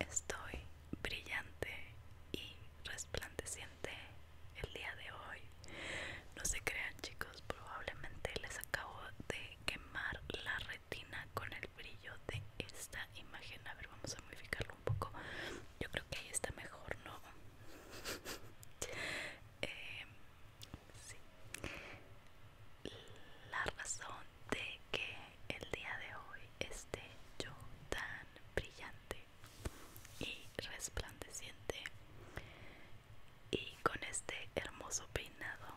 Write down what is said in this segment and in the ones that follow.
Estoy brillante y resplandeciente el día de hoy. No se crean chicos, probablemente les acabo de quemar la retina con el brillo de esta imagen. A ver, vamos a modificarlo un poco. Yo creo que ahí está mejor, ¿no? Eh, sí. La razón de que el día de hoy esté yo tan brillante y resplandeciente y con este hermoso peinado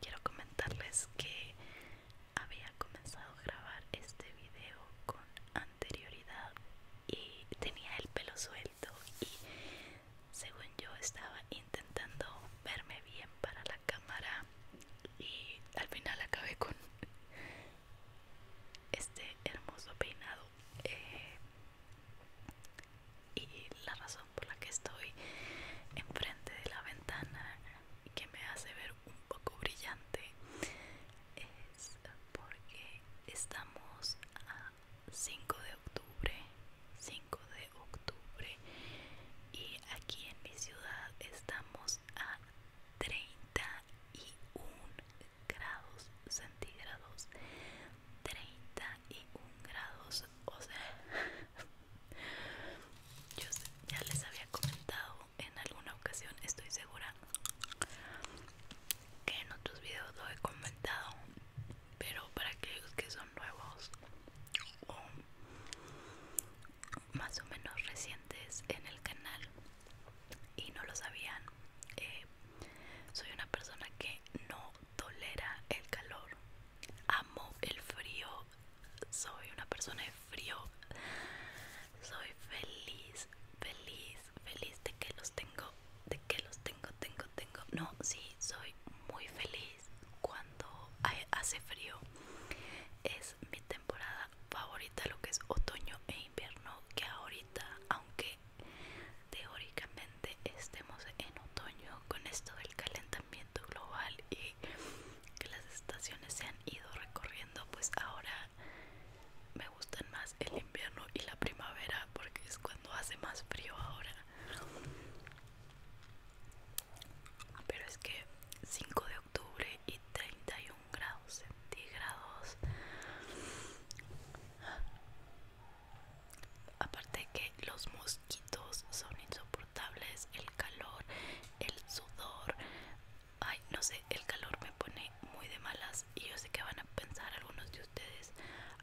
quiero comentarles que había comenzado a grabar este video con anterioridad y tenía el pelo suelto y según yo estaba intentando verme bien para la cámara y al final acabé con este hermoso peinado eh, y la razón por la que estoy enfrente de la ventana que me hace ver un poco brillante es porque estamos a 5 de octubre 5 de octubre y aquí en mi ciudad estamos a 31 grados centígrados 31 grados o sea yo ya les había comentado en alguna ocasión estoy segura que en otros videos lo he comentado pero para aquellos que son nuevos más o menos recientes en el canal y no lo sabían eh, soy una persona que no tolera el calor amo el frío soy una persona de frío soy feliz feliz feliz de que los tengo de que los tengo tengo tengo no sí soy muy feliz cuando hace frío es mi temporada favorita lo que es otoño e invierno que ahorita aunque teóricamente estemos en otoño con esto del calentamiento global y que las estaciones se han ido recorriendo pues ahora me gustan más el invierno y la primavera porque es cuando hace más frío ahora pero es que 5 de octubre y 31 grados centígrados aparte que los mosquitos son insoportables el calor el sudor ay no sé el calor me pone muy de malas y yo sé que van a pensar algunos de ustedes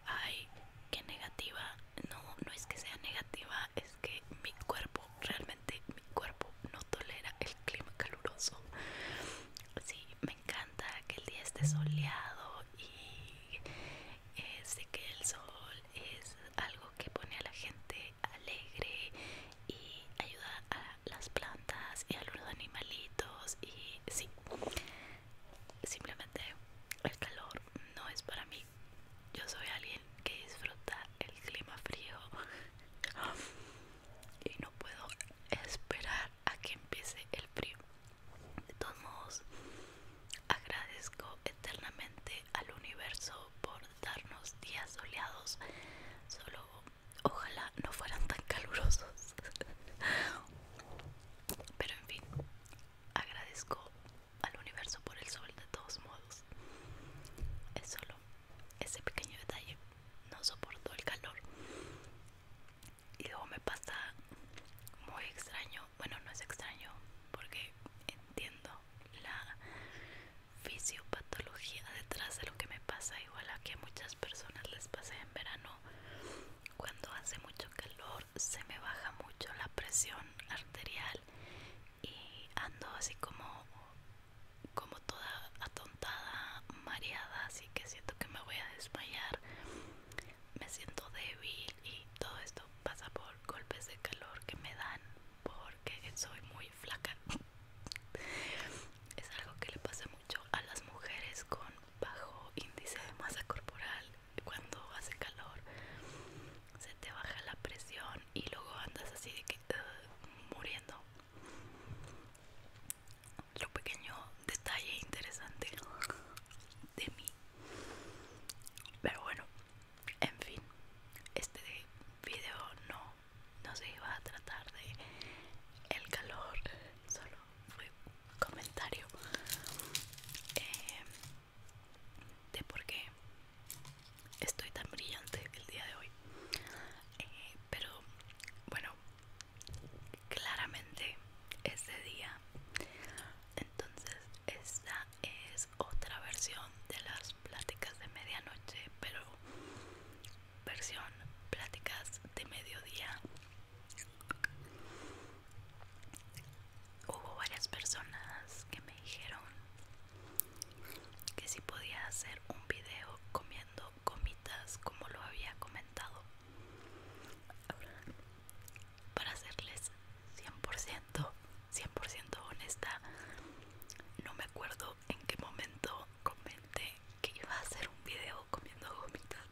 ay que negativa no no es que sea negativa que mi cuerpo, realmente mi cuerpo no tolera el clima caluroso. Sí, me encanta que el día esté soleado y eh, sé que el sol es algo que pone a la gente alegre y ayuda a las plantas y a los animalitos y sí, simplemente el calor no es para mí. Yo soy alguien que disfruta el clima frío y no puedo esperar a que empiece el frío. De todos modos, agradezco eternamente al universo por darnos días soleados. Solo ojalá no fueran tan calurosos. Pero en fin, agradezco al universo por el sol de todos modos. Es solo ese pequeño detalle. No soporto el calor. Y luego me pasa muy extraño. Bueno, no es extraño porque entiendo la fisiopatología detrás de lo que me pasa. Igual a que a muchas personas les pase en verano. Cuando hace mucho calor se me baja mucho la presión arterial y ando así como como toda atontada mareada así que siento que me voy a desmayar me siento débil y todo esto pasa por golpes de calor que me dan porque soy muy flaca es algo que le pasa mucho a las mujeres con bajo índice de masa corporal cuando hace calor se te baja la presión y luego andas así de que eh, muriendo. Otro pequeño detalle interesante de mí. Pero bueno, en fin, este video no, no se iba a tratar de el calor, solo fue comentario eh, de por qué estoy tan brillante el día de hoy eh, pero bueno claramente ese día entonces esta es otra versión de las pláticas de medianoche pero versión pláticas de mediodía hubo varias personas que me dijeron que si podía hacer un video comiendo gomitas como lo había comentado para serles 100% 100% honesta no me acuerdo en qué momento comenté que iba a hacer un video comiendo gomitas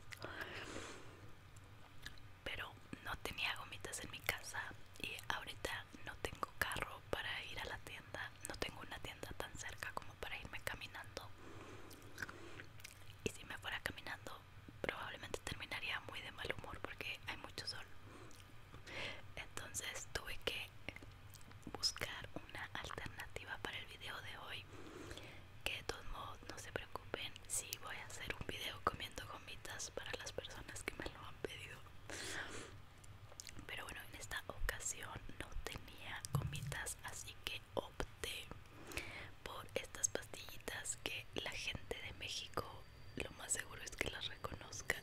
pero no tenía gomitas en mi casa y ahorita no tengo carro para ir a la tienda, no tengo una tienda tan cerca como para irme caminando. Y si me fuera caminando, probablemente terminaría muy de mal humor porque hay mucho sol. Entonces tuve que buscar una alternativa para el video de hoy. Que de todos modos no se preocupen si voy a hacer un video comiendo gomitas para las personas que me lo han pedido pero bueno en esta ocasión no tenía gomitas así que opté por estas pastillitas que la gente de México lo más seguro es que las reconozcan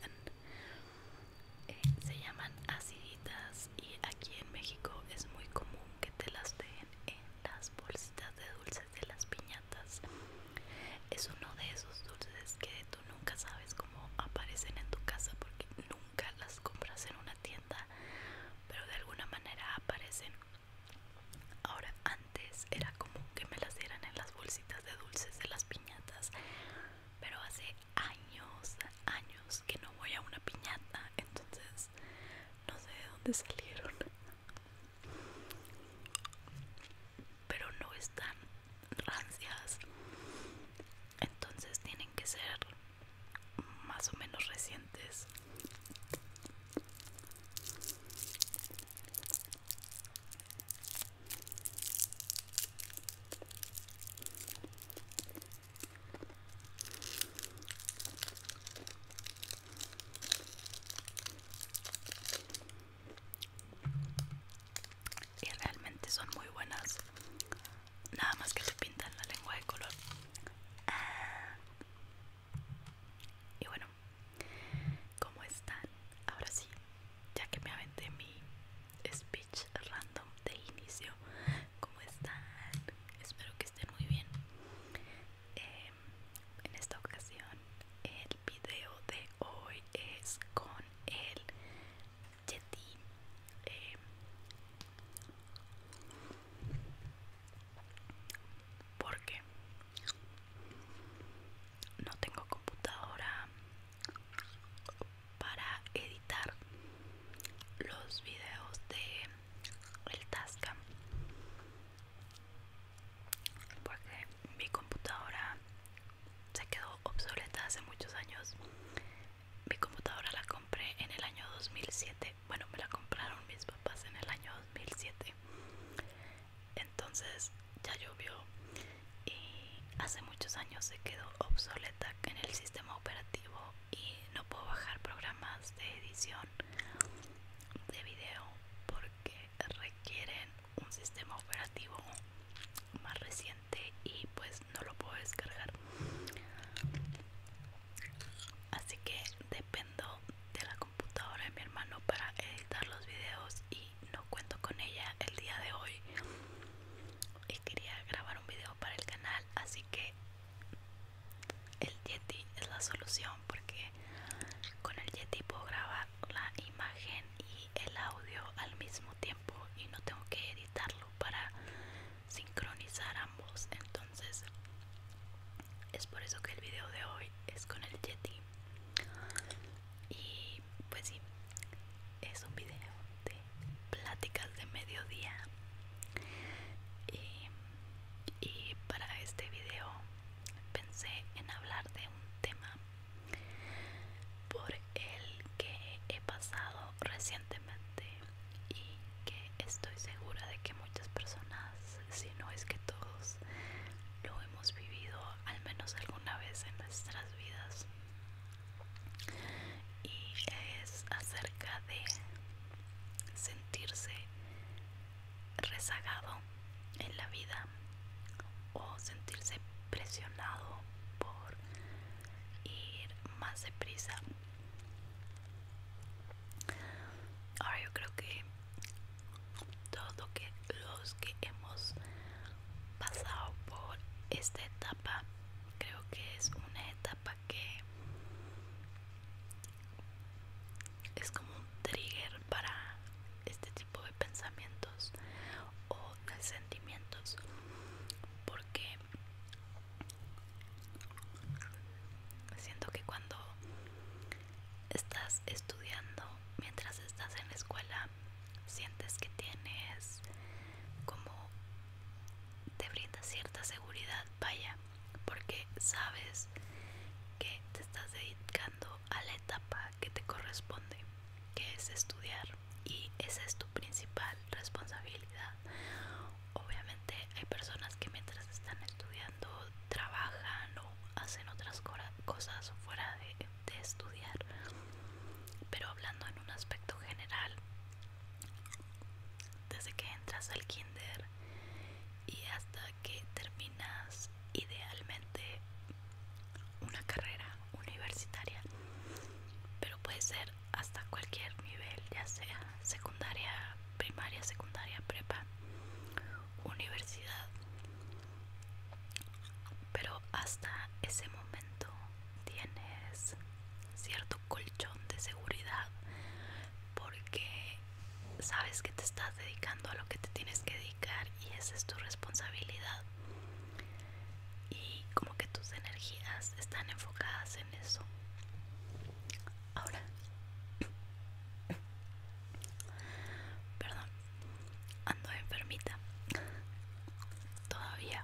eh, se llaman aciditas y aquí en México es muy común que te las den en las bolsitas de dulces de las piñas. Es uno de esos dulces que tú nunca sabes cómo aparecen en tu casa porque nunca las compras en una tienda, pero de alguna manera aparecen. Ahora, antes era común que me las dieran en las bolsitas de dulces de las piñatas, pero hace años, años que no voy a una piñata, entonces no sé de dónde salieron. Pero no están rancias entonces tienen que ser más o menos recientes y realmente son muy buenas nada más que te pintan la lengua de color ah. y bueno ¿cómo están? ahora sí ya que me aventé mi speech random de inicio ¿cómo están? espero que estén muy bien em, en esta ocasión eh, el video de hoy es con el Yeti em, porque no tengo computadora para editar los videos de el Tasca, porque mi computadora se quedó obsoleta hace muchos años. Mi computadora la compré en el año 2007. Bueno, me la compraron mis papás en el año 2007. Entonces ya llovió y hace muchos años se quedó obsoleta en el sistema operativo y no puedo bajar programas de edición de video porque requieren un sistema operativo más reciente y pues no lo puedo descargar así que dependo de la computadora de mi hermano para editar los videos y no cuento con ella el día de hoy y quería grabar un video para el canal así que el Yeti es la solución porque con el Yeti puedo grabar la imagen y el audio al mismo tiempo y no tengo que editarlo para sincronizar ambos entonces es por eso que el video de hoy es con el Yeti y pues sí es un video de pláticas de mediodía y, y para este video pensé en hablar de un tema por el que he pasado recientemente y que estoy segura de que muchas personas, si no es que todos, lo hemos vivido al menos alguna vez en nuestras vidas. Y es acerca de sentirse rezagado en la vida o sentirse presionado por ir más deprisa. Ahora yo creo que todos que, los que hemos pasado por esta etapa, creo que es una etapa que es como un trigger para este tipo de pensamientos o de sentimientos porque siento que cuando estás estudiando mientras estás en la escuela sientes que tienes como te brinda cierta seguridad vaya porque sabes que te estás dedicando a la etapa que te corresponde que es estudiar y esa es tu principal responsabilidad. Obviamente hay personas que mientras están estudiando trabajan o hacen otras cosas fuera de, estudiar, pero hablando en un aspecto general, desde que entras al kinder y hasta que terminas idealmente una carrera universitaria, pero puede ser hasta cualquier nivel, ya sea secundaria, primaria, secundaria, prepa, universidad. Pero hasta ese momento tienes cierto colchón de seguridad porque sabes que te estás dedicando a lo que te tienes que dedicar y esa es tu responsabilidad y como que tus energías están enfocadas en eso. Ahora, perdón, ando enfermita todavía.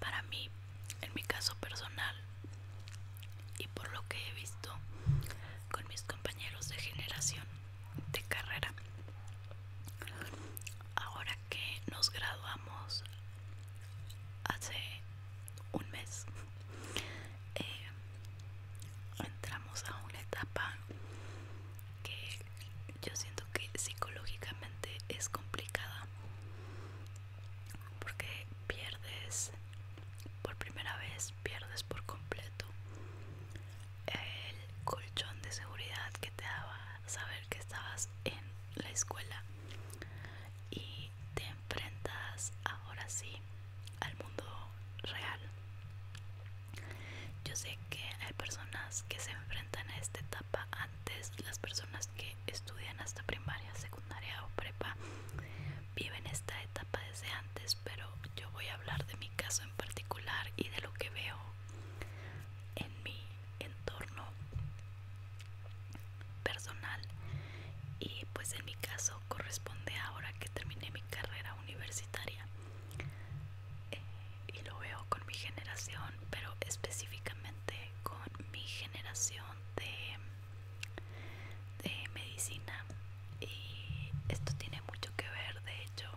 Para mí, en mi caso personal, y por lo que he visto con mis compañeros de generación de carrera, ahora que nos graduamos hace un mes, eh, entramos a una etapa que yo siento que psicológicamente es complicada porque pierdes por primera vez pierdes por completo el colchón de seguridad que te daba saber que estabas en la escuela y te enfrentas ahora sí al mundo real yo sé que hay personas que se enfrentan a esta etapa antes, las personas que estudian hasta primaria, secundaria o prepa viven esta etapa desde antes, pero yo voy a hablar de mi caso en particular y de lo que veo en mi entorno personal y pues en mi caso corresponde ahora que terminé mi carrera universitaria eh, y lo veo con mi generación, pero específicamente con mi generación de, de medicina. Y esto tiene mucho que ver, de hecho,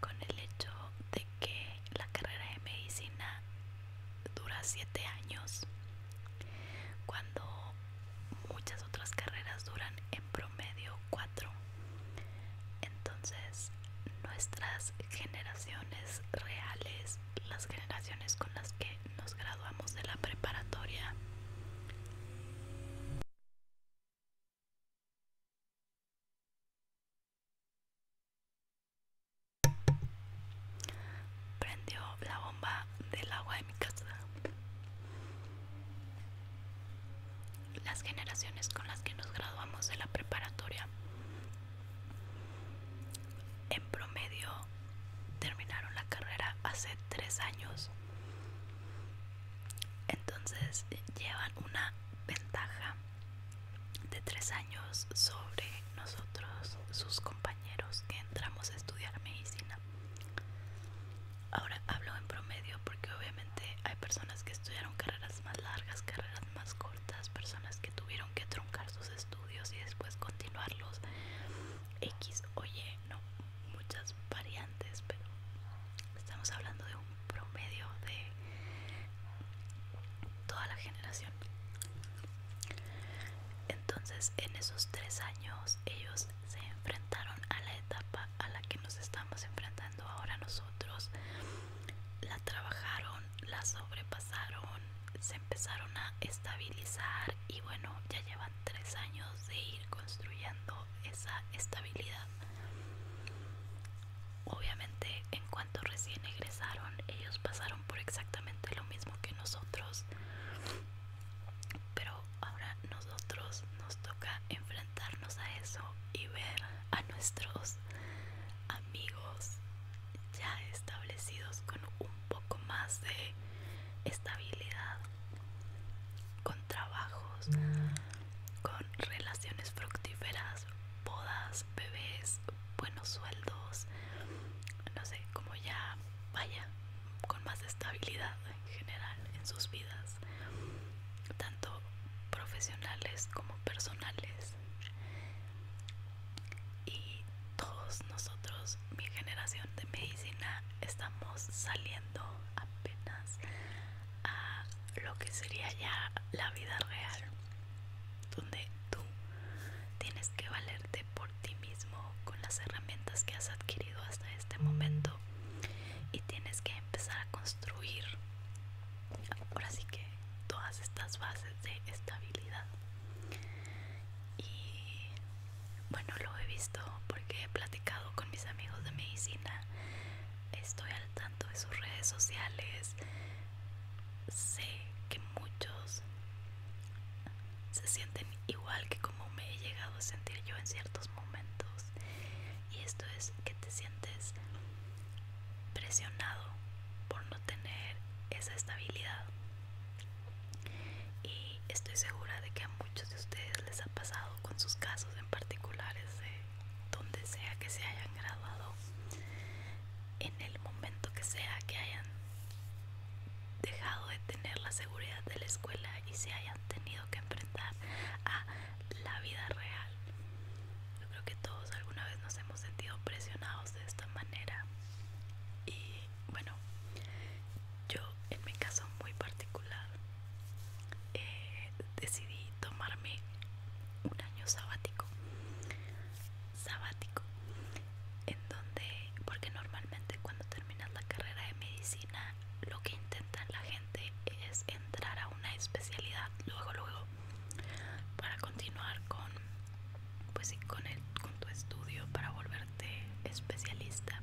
con el hecho de que la carrera de medicina dura 7 años, cuando muchas otras carreras duran promedio 4. Entonces, nuestras generaciones reales, las generaciones con las que nos graduamos de la preparatoria, prendió la bomba del agua de mi casa las generaciones con las que nos graduamos de la preparatoria en promedio terminaron la carrera hace tres años entonces llevan una ventaja de tres años sobre nosotros sus compañeros que entramos a estudiar medicina Ahora hablo en promedio porque obviamente hay personas que estudiaron carreras más largas, carreras más cortas, personas que tuvieron que truncar sus estudios y después continuarlos. X, oye, no, muchas variantes, pero estamos hablando de un promedio de toda la generación. Entonces, en esos tres años, ellos se enfrentaron a la etapa a la que nos estamos enfrentando ahora nosotros la trabajaron, la sobrepasaron, se empezaron a estabilizar y bueno, ya llevan tres años de ir construyendo esa estabilidad. Obviamente en cuanto recién egresaron, ellos pasaron por exactamente lo mismo que nosotros, pero ahora no nosotros nos toca enfrentarnos a eso y ver a nuestros amigos ya establecidos con un poco más de estabilidad, con trabajos, con relaciones fructíferas, bodas, bebés, buenos sueldos, no sé, como ya vaya, con más estabilidad en general en sus vidas tanto profesionales como personales. Y todos nosotros, mi generación de medicina, estamos saliendo apenas a lo que sería ya la vida real, donde tú tienes que valerte por ti mismo con las herramientas que has adquirido hasta este momento y tienes que empezar a construir ahora sí que todas estas bases de estabilidad y bueno lo he visto porque he platicado con mis amigos de medicina estoy al tanto de sus redes sociales sé que muchos se sienten igual que como me he llegado a sentir yo en ciertos momentos y esto es que te sientes presionado por no tener esa estabilidad y estoy segura de que a muchos de ustedes les ha pasado con sus casos en particulares de donde sea que se hayan graduado en el momento que sea que hayan dejado de tener la seguridad de la escuela y se hayan tenido que enfrentar a la vida real yo creo que todos alguna vez nos hemos sentido presionados de esta manera. Y bueno, yo en mi caso muy particular eh, decidí tomarme un año sabático. Sabático. En donde, porque normalmente cuando terminas la carrera de medicina lo que intentan la gente es entrar a una especialidad luego luego para continuar con pues con con tu estudio para volverte especialista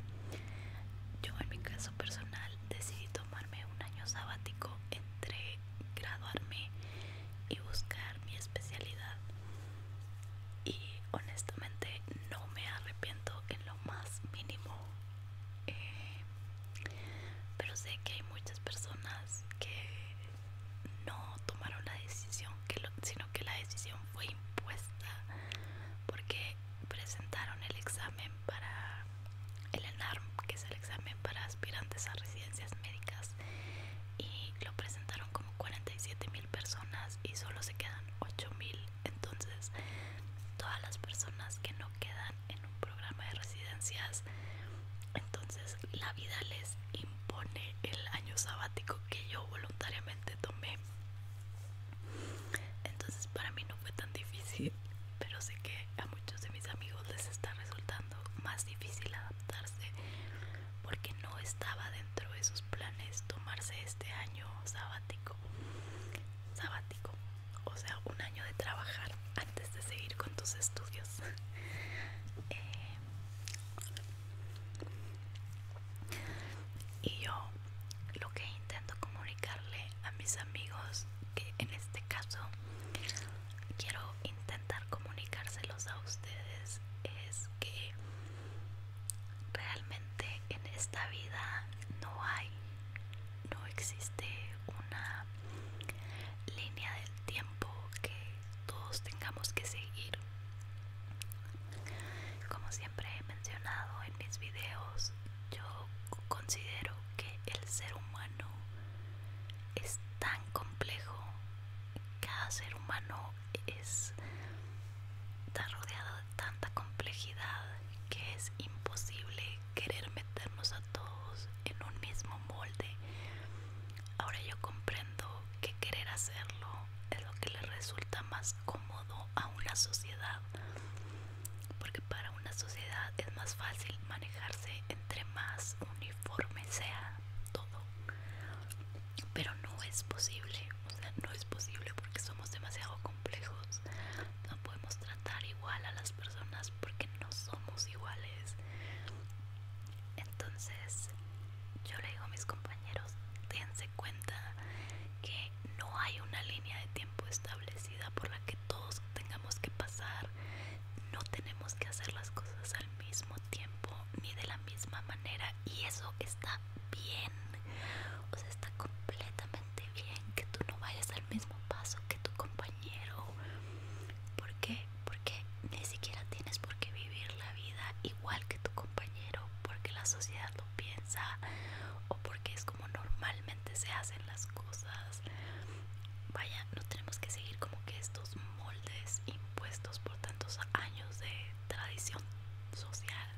yo en mi caso personal decidí tomarme un año sabático entre graduarme y buscar mi especialidad y honestamente no me arrepiento en lo más mínimo eh, pero sé que hay muchas personas que no tomaron la decisión sino que la decisión fue impuesta porque presentaron el examen para el ENARM que es el examen para aspirantes a residencias médicas y lo presentaron como 47 mil personas y solo se quedan 8 mil entonces todas las personas que no quedan en un programa de residencias entonces la vida les impone el año sabático que yo voluntariamente tomé entonces para mí no fue tan difícil pero sé que a muchos de mis amigos les está resultando más difícil adaptarse porque no estaba dentro de sus planes tomarse este año sabático sabático o sea, un año de trabajar antes de seguir con tus estudios. Eh, y yo lo que intento comunicarle a mis amigos, que en este caso quiero intentar comunicárselos a ustedes, es que realmente en esta vida no hay no existe una línea del tiempo que todos tengamos que seguir. Como siempre he mencionado en mis videos, yo considero que el ser humano es tan complejo, cada ser humano es está rodeado de tanta complejidad que es imposible querer meternos a todos en un mismo molde. Ahora yo comprendo que querer hacerlo es lo que le resulta más cómodo a una sociedad, porque para una sociedad es más fácil manejarse entre más uniforme sea todo. Pero no es posible, o sea, no es posible porque somos demasiado complejos no podemos tratar igual a las personas porque no somos iguales. Entonces, yo le digo a mis compañeros, dense cuenta que no hay una línea de tiempo establecida por la que todos tengamos que pasar. No tenemos que hacer las cosas al mismo tiempo ni de la misma manera y eso está bien. O sea, está completamente bien que tú no vayas al mismo paso que tu compañero porque ¿Por qué? Porque ni siquiera tienes por qué vivir la vida igual que tu compañero, porque la sociedad lo piensa o porque es como normalmente se hacen las cosas. Vaya, no tenemos que seguir como que estos moldes impuestos por tantos años de tradición social.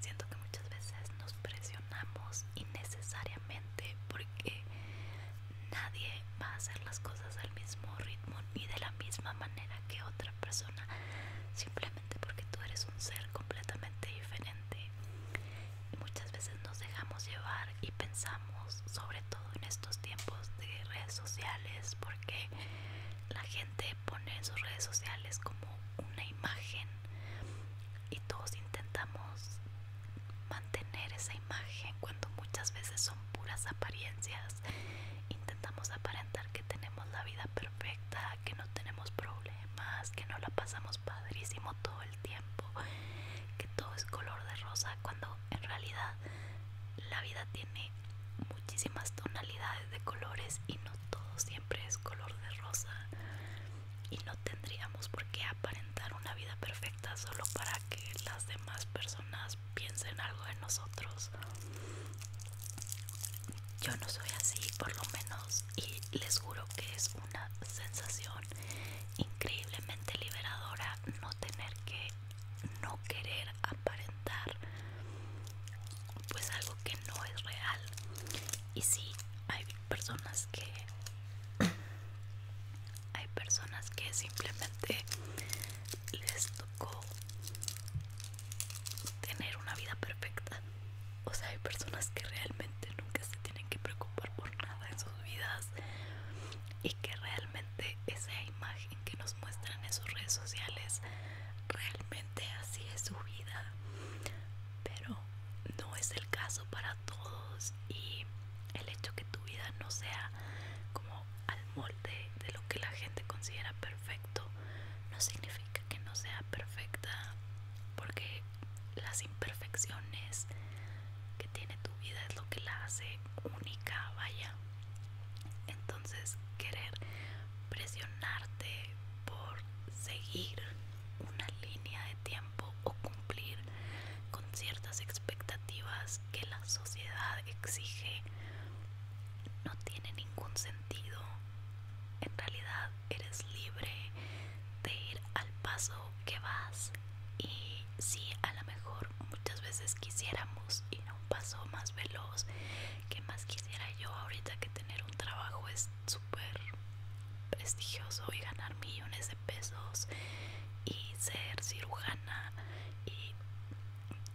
Siento que muchas veces nos presionamos y innecesariamente porque nadie va a hacer las cosas al mismo ritmo ni de la misma manera que otra persona simplemente porque tú eres un ser completamente diferente y muchas veces nos dejamos llevar y pensamos sobre todo en estos tiempos de redes sociales porque la gente pone en sus redes sociales como una imagen y todos intentamos mantener esa imagen cuando muchas veces son puras apariencias intentamos aparentar que tenemos la vida perfecta que no tenemos problemas que no la pasamos padrísimo todo el tiempo que todo es color de rosa cuando en realidad la vida tiene muchísimas tonalidades de colores y todo siempre es color de rosa y no tendríamos por qué aparentar una vida perfecta solo para que las demás personas piensen algo de nosotros. Yo no soy así, por lo menos, y les juro que es una sensación increíblemente liberadora no tener que no querer aparentar pues algo que no es real y sí hay personas que hay personas que simplemente les tocó tener una vida perfecta o sea hay personas que realmente nunca se tienen que preocupar por nada en sus vidas y que realmente esa imagen que nos muestran en sus redes sociales realmente así es su vida pero no es el caso para todos y el hecho que tu vida no sea como al molde de lo que la gente considera perfecto no significa que no sea perfecta porque las imperfecciones que tiene tu vida es lo que la hace única, vaya. Entonces querer presionarte por seguir una línea de tiempo o cumplir con ciertas expectativas que la sociedad exige no tiene ningún sentido. En realidad eres libre de ir al paso que vas y si a lo mejor muchas veces quisiéramos ir a un paso más veloz, que más quisiera yo ahorita que tener un trabajo super prestigioso y ganar millones de pesos y ser cirujana y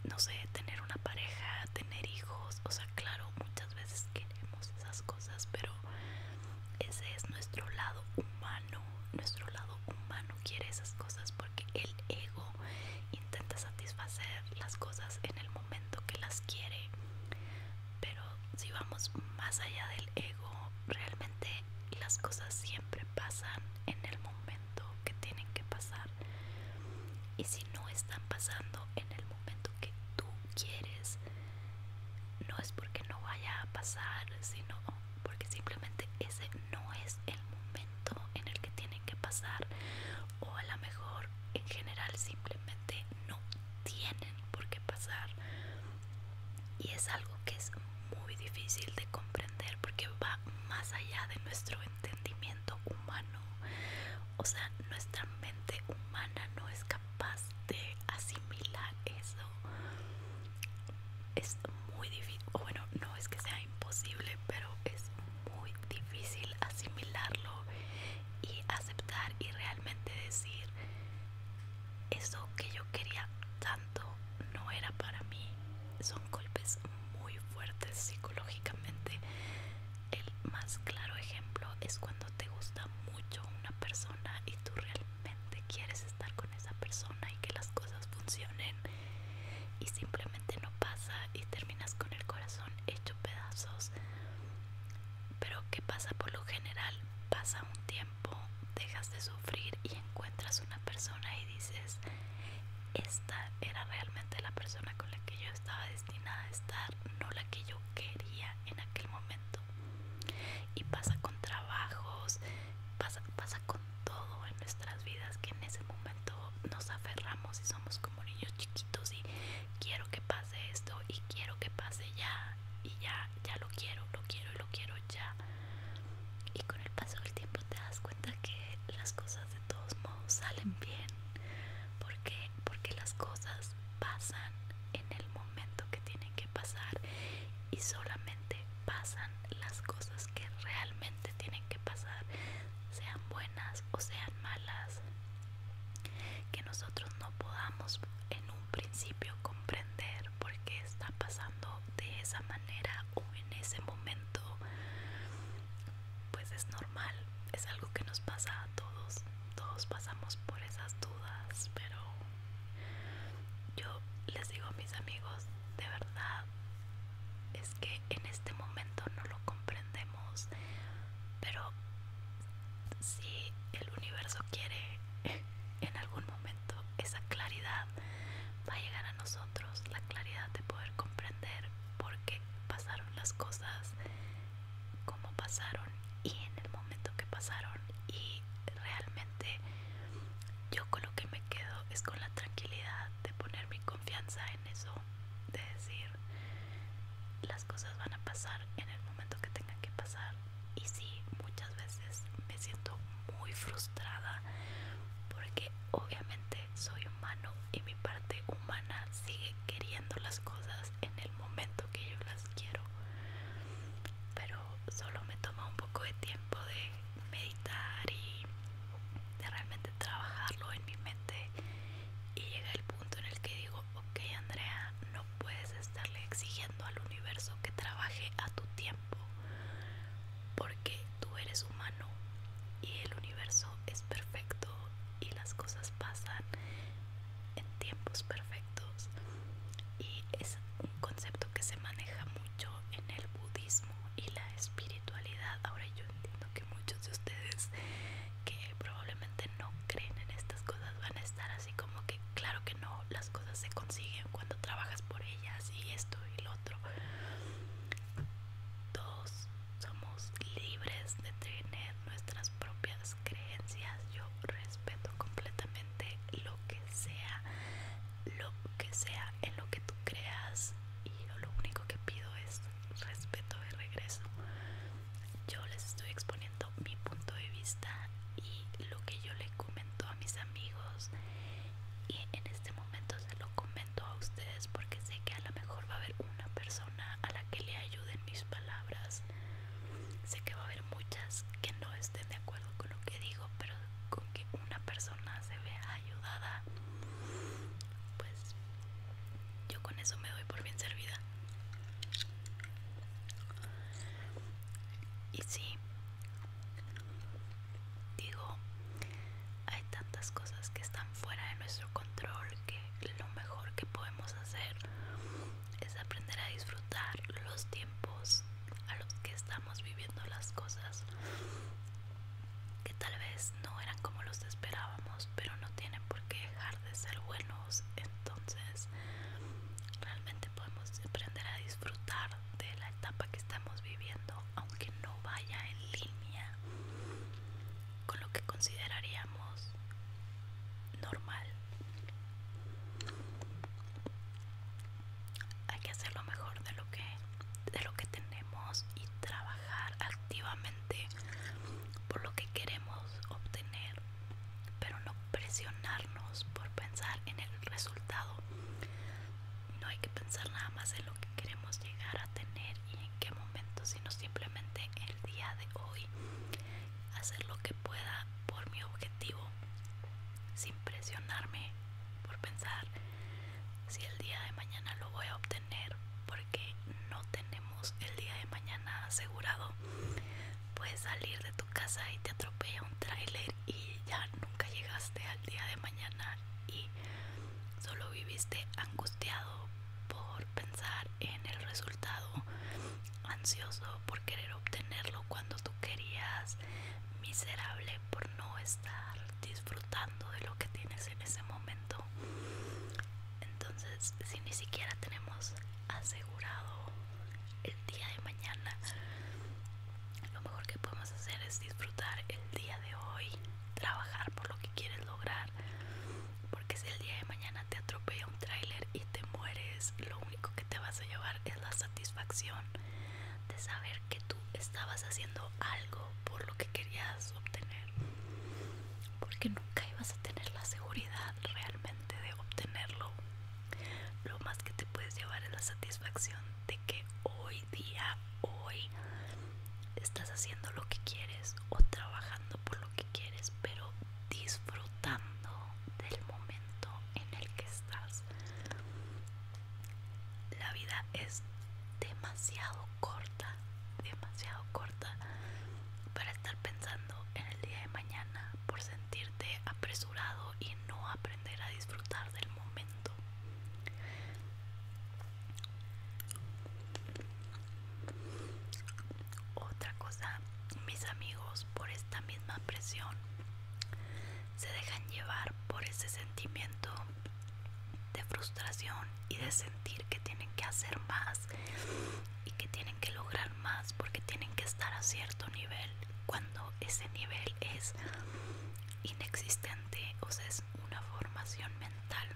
no sé, tener una pareja, tener hijos, o sea, claro, muchas veces queremos esas cosas, pero ese es nuestro lado humano, nuestro lado humano quiere esas cosas porque el ego intenta satisfacer las cosas en el momento que las quiere, pero si vamos más allá del ego, realmente las cosas siempre pasan en el momento que tienen que pasar. Y si no están pasando en el momento que tú quieres, no es porque no vaya a pasar, sino porque simplemente ese no es el momento en el que tienen que pasar. O a lo mejor en general simplemente no tienen por qué pasar y es algo que es muy difícil de comprender porque va más allá de nuestro entendimiento humano o sea nuestra mente humana no es capaz de asimilar eso es muy difícil o bueno no es que sea imposible pero es muy difícil asimilarlo y aceptar y realmente decir eso que yo quería tanto no era para mí son golpes muy fuertes psicológicamente el más claro ejemplo es cuando te gusta mucho una persona y tú realmente quieres estar con esa persona y que las cosas funcionen y simplemente no pasa y terminas con el corazón hecho pedazos pero ¿qué pasa por lo general? Pasa un tiempo, dejas de sufrir y encuentras una persona y dices, esta era realmente la persona con la que yo estaba destinada a estar, no la que yo quería en aquel momento. Y pasa con trabajos, pasa, pasa con todo en nuestras vidas que en ese momento nos aferramos y somos como niños chiquitos y quiero que pase de esto y quiero que pase ya y ya, ya lo quiero, lo quiero y lo quiero ya. Y con el paso del tiempo te das cuenta que las cosas de todos modos salen bien. porque Porque las cosas pasan en el momento que tienen que pasar y solamente pasan las cosas que realmente tienen que pasar, sean buenas o sean malas que nosotros no podamos en un principio comprender por qué está pasando de esa manera o en ese momento, pues es normal, es algo que nos pasa a todos, todos pasamos por esas dudas, pero yo les digo a mis amigos, de verdad, es que en este momento no lo comprendemos pero si el universo quiere en algún momento esa claridad va a llegar a nosotros, la claridad de poder comprender por qué pasaron las cosas, como pasaron y en el momento que pasaron y realmente yo con lo que me quedo es con la tranquilidad de poner mi confianza en eso, de decir las cosas van a pasar en el momento que tengan que pasar y sí muchas veces me siento muy frustrada porque obviamente soy humano y mi parte humana sigue queriendo las cosas en el momento que yo las quiero pero solo me toma un poco de tiempo de meditar y de realmente trabajarlo en mi mente y llega el punto en el que digo, ok Andrea, no puedes estarle exigiendo al universo que trabaje a tu tiempo, porque tú eres humano y el universo es perfecto y las cosas pasan en tiempos perfectos. Y es un concepto que se maneja mucho en el budismo y la espiritualidad. Ahora yo entiendo que muchos de ustedes que probablemente no creen en estas cosas van a estar así como que claro que no, las cosas se consiguen cuando trabajas por ellas y esto y lo otro. Todos somos libres de tener nuestras propias creencias. Yo respeto completamente lo que sea, lo que sea en lo que tú creas y yo lo único que pido es respeto de regreso yo les estoy exponiendo mi punto de vista y lo que yo le comento a mis amigos y en este momento se lo comento a ustedes porque sé que a lo mejor va a haber una persona a la que le ayuden mis palabras sé que va a haber muchas que no estén de acuerdo con lo que digo pero con que una persona se vea ayudada pues yo con eso me doy por bien servida. Y sí, digo, hay tantas cosas que están fuera de nuestro control que lo mejor que podemos hacer es aprender a disfrutar los tiempos a los que estamos viviendo las cosas que tal vez no eran como los esperábamos, pero no tienen por qué dejar de ser buenos. Entonces, pues, realmente podemos aprender a disfrutar de la etapa que estamos viviendo aunque no vaya en línea con lo que consideraríamos normal hay que hacer lo mejor de lo que de lo que tenemos y trabajar activamente por lo que queremos obtener pero no presionarnos por pensar en el resultado. No hay que pensar nada más en lo que queremos llegar a tener y en qué momento, sino simplemente el día de hoy hacer lo que pueda por mi objetivo sin presionarme por pensar si el día de mañana lo voy a obtener porque no tenemos el día de mañana asegurado puedes salir de tu casa y te atropella un tráiler y ya nunca llegaste al día de mañana y solo viviste angustiado por pensar en el resultado ansioso por querer obtenerlo cuando tú querías miserable por no estar disfrutando de lo que tienes en ese momento entonces si ni siquiera tenemos asegurado el día de mañana. Lo mejor que podemos hacer es disfrutar el día de hoy, trabajar por lo que quieres lograr, porque si el día de mañana te atropella un tráiler y te mueres, lo único que te vas a llevar es la satisfacción de saber que tú estabas haciendo algo por lo que querías obtener, porque nunca ibas a tener la seguridad realmente de obtenerlo. Lo más que te puedes llevar es la satisfacción de que hoy día, hoy, estás haciendo lo que quieres o trabajando por lo que quieres, pero disfrutando del momento en el que estás. La vida es demasiado corta, demasiado corta para estar pensando en el día de mañana por sentirte apresurado y no aprender a disfrutar del momento. Otra cosa, mis amigos por esta misma presión se dejan llevar por ese sentimiento de frustración y de sentir que tienen que hacer más y que tienen que lograr más porque tienen que estar a cierto nivel cuando ese nivel es inexistente o sea es una formación mental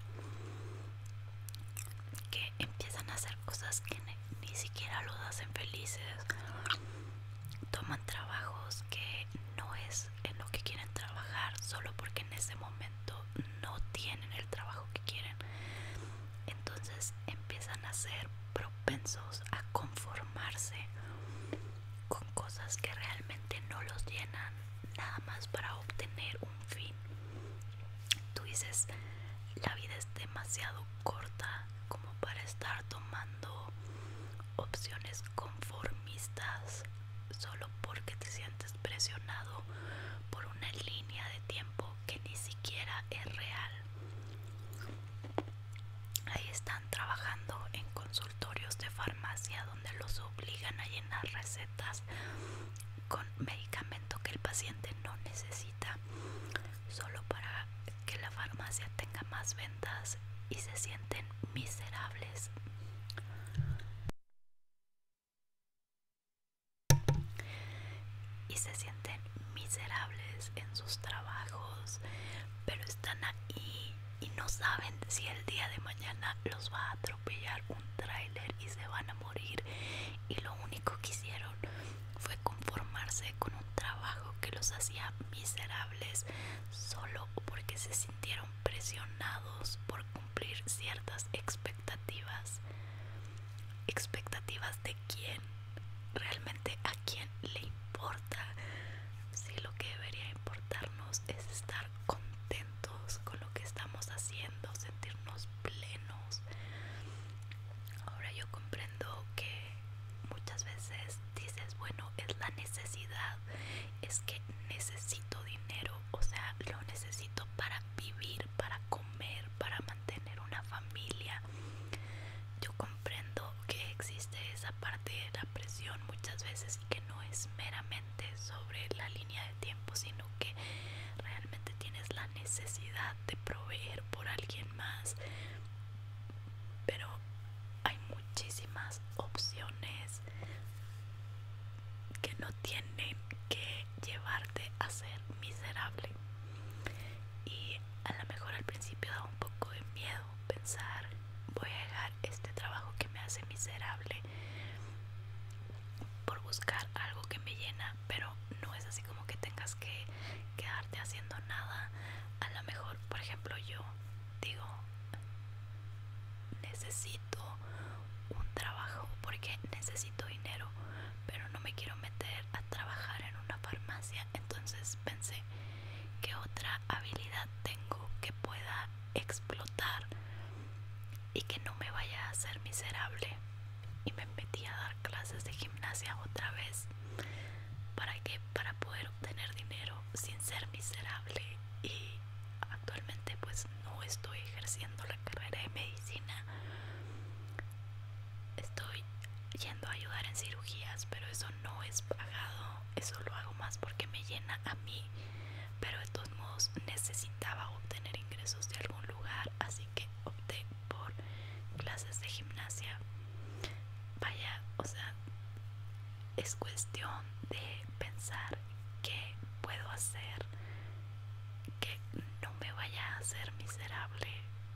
que empiezan a hacer cosas que ni siquiera los hacen felices toman trabajos que no es en lo que quieren trabajar solo porque en ese momento no tienen el trabajo que quieren entonces empiezan a ser propensos a conformarse con cosas que realmente no los llenan nada más para obtener un fin tú dices la vida es demasiado corta como para estar tomando opciones conformistas solo porque te sientes presionado por una línea de tiempo que ni siquiera es real Ahí están trabajando en consultorios de farmacia donde los obligan a llenar recetas con medicamento que el paciente no necesita solo para que la farmacia tenga más ventas y se sienten miserables y se sienten miserables en sus trabajos, pero están ahí y no saben si el día de mañana los va a atropellar un tráiler y se van a morir y lo único que hicieron fue conformarse con un trabajo que los hacía miserables solo porque se sintieron presionados por cumplir ciertas expectativas expectativas de quién realmente a quién le importa si lo que debería importarnos es estar contentos con lo que estamos haciendo sentirnos plenos ahora yo comprendo que muchas veces dices bueno es la necesidad es que necesito dinero o sea lo necesito para vivir para comer, para mantener una familia. Yo comprendo que existe esa parte de la presión muchas veces y que no es meramente sobre la línea de tiempo, sino que realmente tienes la necesidad de proveer por alguien más. Pero hay muchísimas opciones que no tienen que llevarte a ser miserable y a lo mejor al principio da un poco de miedo pensar voy a dejar este trabajo que me hace miserable por buscar algo que me llena pero no es así como que tengas que quedarte haciendo nada a lo mejor por ejemplo yo digo necesito un trabajo porque necesito dinero pero no me quiero meter a trabajar en una farmacia entonces pensé que otra habilidad tengo que pueda explotar y que no me vaya a hacer miserable y me metí a dar clases de gimnasia otra vez para que para poder obtener dinero sin ser miserable y actualmente pues no estoy ejerciendo la carrera de medicina estoy yendo a ayudar en cirugías, pero eso no es pagado, eso lo hago más porque me llena a mí, pero de todos modos necesitaba obtener ingresos de algún lugar, así que opté por clases de gimnasia. Vaya, o sea, es cuestión de pensar qué puedo hacer que no me vaya a hacer miserable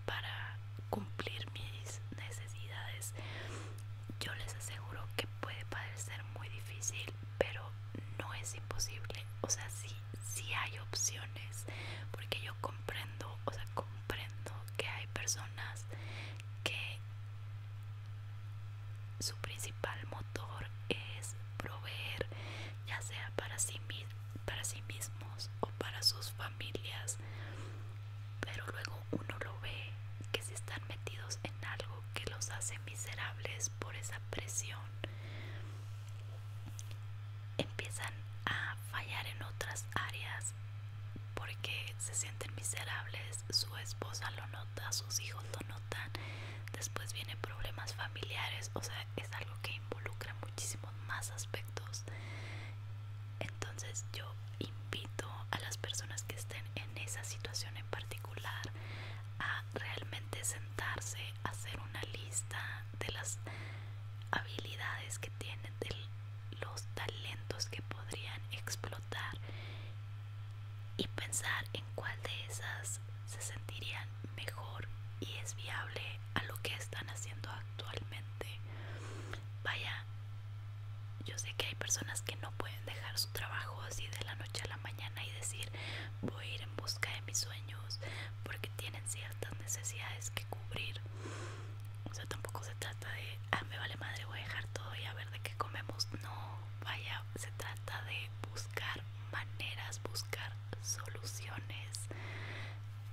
para cumplir mis necesidades yo les aseguro que puede parecer muy difícil pero no es imposible o sea sí sí hay opciones porque yo comprendo o sea comprendo que hay personas que su principal motor es proveer ya sea para sí mismos para sí mismos o para sus familias pero luego uno lo ve que si están metidos en algo que los hace miserables por esa presión empiezan a fallar en otras áreas porque se sienten miserables su esposa lo nota sus hijos lo notan después vienen problemas familiares o sea es algo que involucra muchísimos más aspectos entonces yo invito a las personas que estén en esa situación en particular a realmente sentarse, a hacer una lista de las habilidades que tienen, de los talentos que podrían explotar y pensar en cuál de esas se sentirían mejor y es viable a lo que están haciendo actualmente. Vaya, yo sé que hay personas que no pueden dejar su trabajo así de la noche a la mañana y decir voy a ir en busca de mis sueños porque tienen ciertas necesidades que cubrir. O sea, tampoco se trata de, ah, me vale madre, voy a dejar todo y a ver de qué comemos. No, vaya, se trata de buscar maneras, buscar soluciones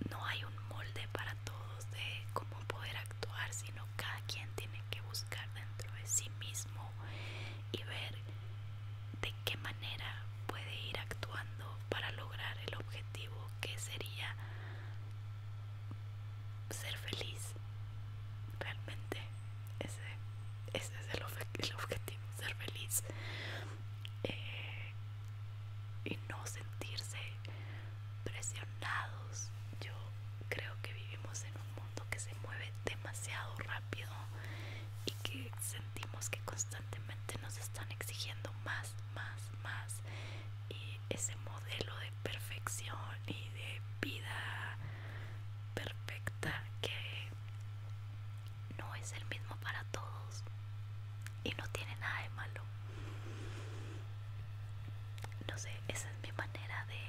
no hay un molde para todos de cómo poder actuar, sino cada quien tiene que buscar dentro de sí mismo y ver de qué manera puede ir actuando para lograr el objetivo que sería ser feliz. Realmente ese, ese es el, objetivo, ser feliz. Eh, y no sentirse presionados. Yo creo que vivimos en un mundo que se mueve demasiado rápido y que sentimos que constantemente nos están exigiendo más, más, más. Y ese modelo de perfección y de vida perfecta que no es el mismo para todos y no tiene nada de malo. No sé, esa es mi manera de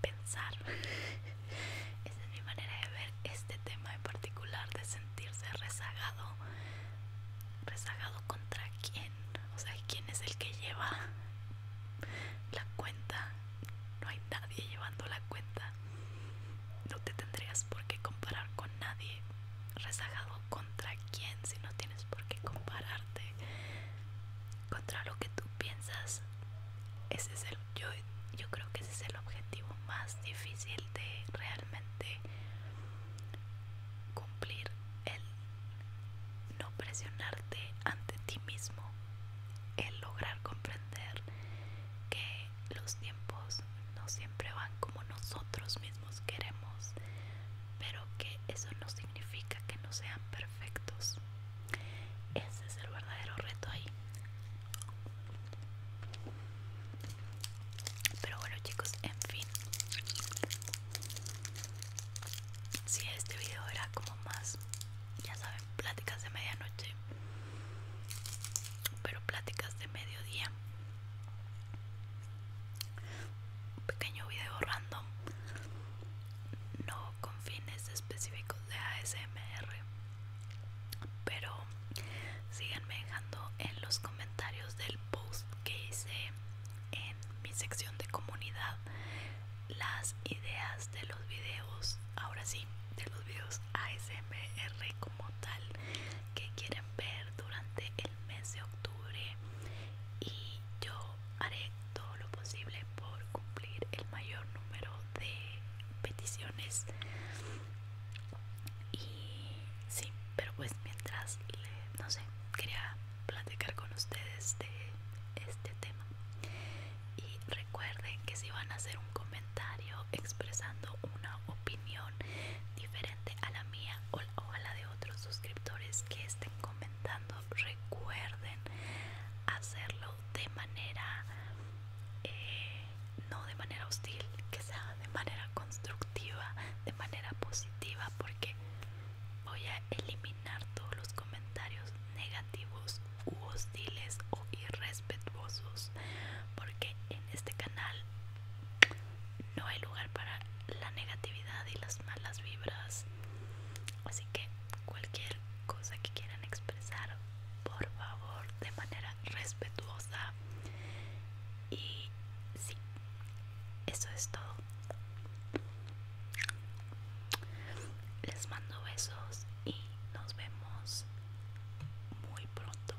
pensar. esa es mi manera de ver este tema en particular, de sentirse rezagado. ¿Rezagado contra quién? O sea, ¿quién es el que lleva la cuenta? No hay nadie llevando la cuenta no te tendrías por qué comparar con nadie rezagado contra quién si no tienes por qué compararte contra lo que tú piensas ese es el yo, creo que ese es el objetivo más difícil de realmente cumplir el no presionarte ante ti mismo el lograr comprender que los no siempre van como nosotros mismos queremos, pero que eso no significa que no sean perfectos. Ese es el verdadero reto ahí. Pero bueno chicos, en fin. Si este video era como más, ya saben, pláticas de medianoche, pero pláticas de mediodía, un pequeño video random no con fines específicos de ASMR pero síganme dejando en los comentarios del post que hice en mi sección de comunidad las ideas de los videos ahora sí de los videos ASMR como tal que quieren ver durante el mes de octubre y yo haré todo lo posible por cumplir el mayor número de peticiones y sí pero pues mientras no sé quería platicar con ustedes de este tema y recuerden que si van a hacer un comentario expresando una opinión diferente a la mía o a la de otros suscriptores que estén comentando, recuerden hacerlo de manera, eh, no de manera hostil, que sea de manera constructiva, de manera positiva, porque voy a eliminar todos los comentarios negativos u hostiles o irrespetuosos porque en este canal no hay lugar para la negatividad y las malas vibras. Así que cualquier cosa que quieran expresar, por favor, de manera respetuosa. Y sí, eso es todo. Les mando besos y nos vemos muy pronto.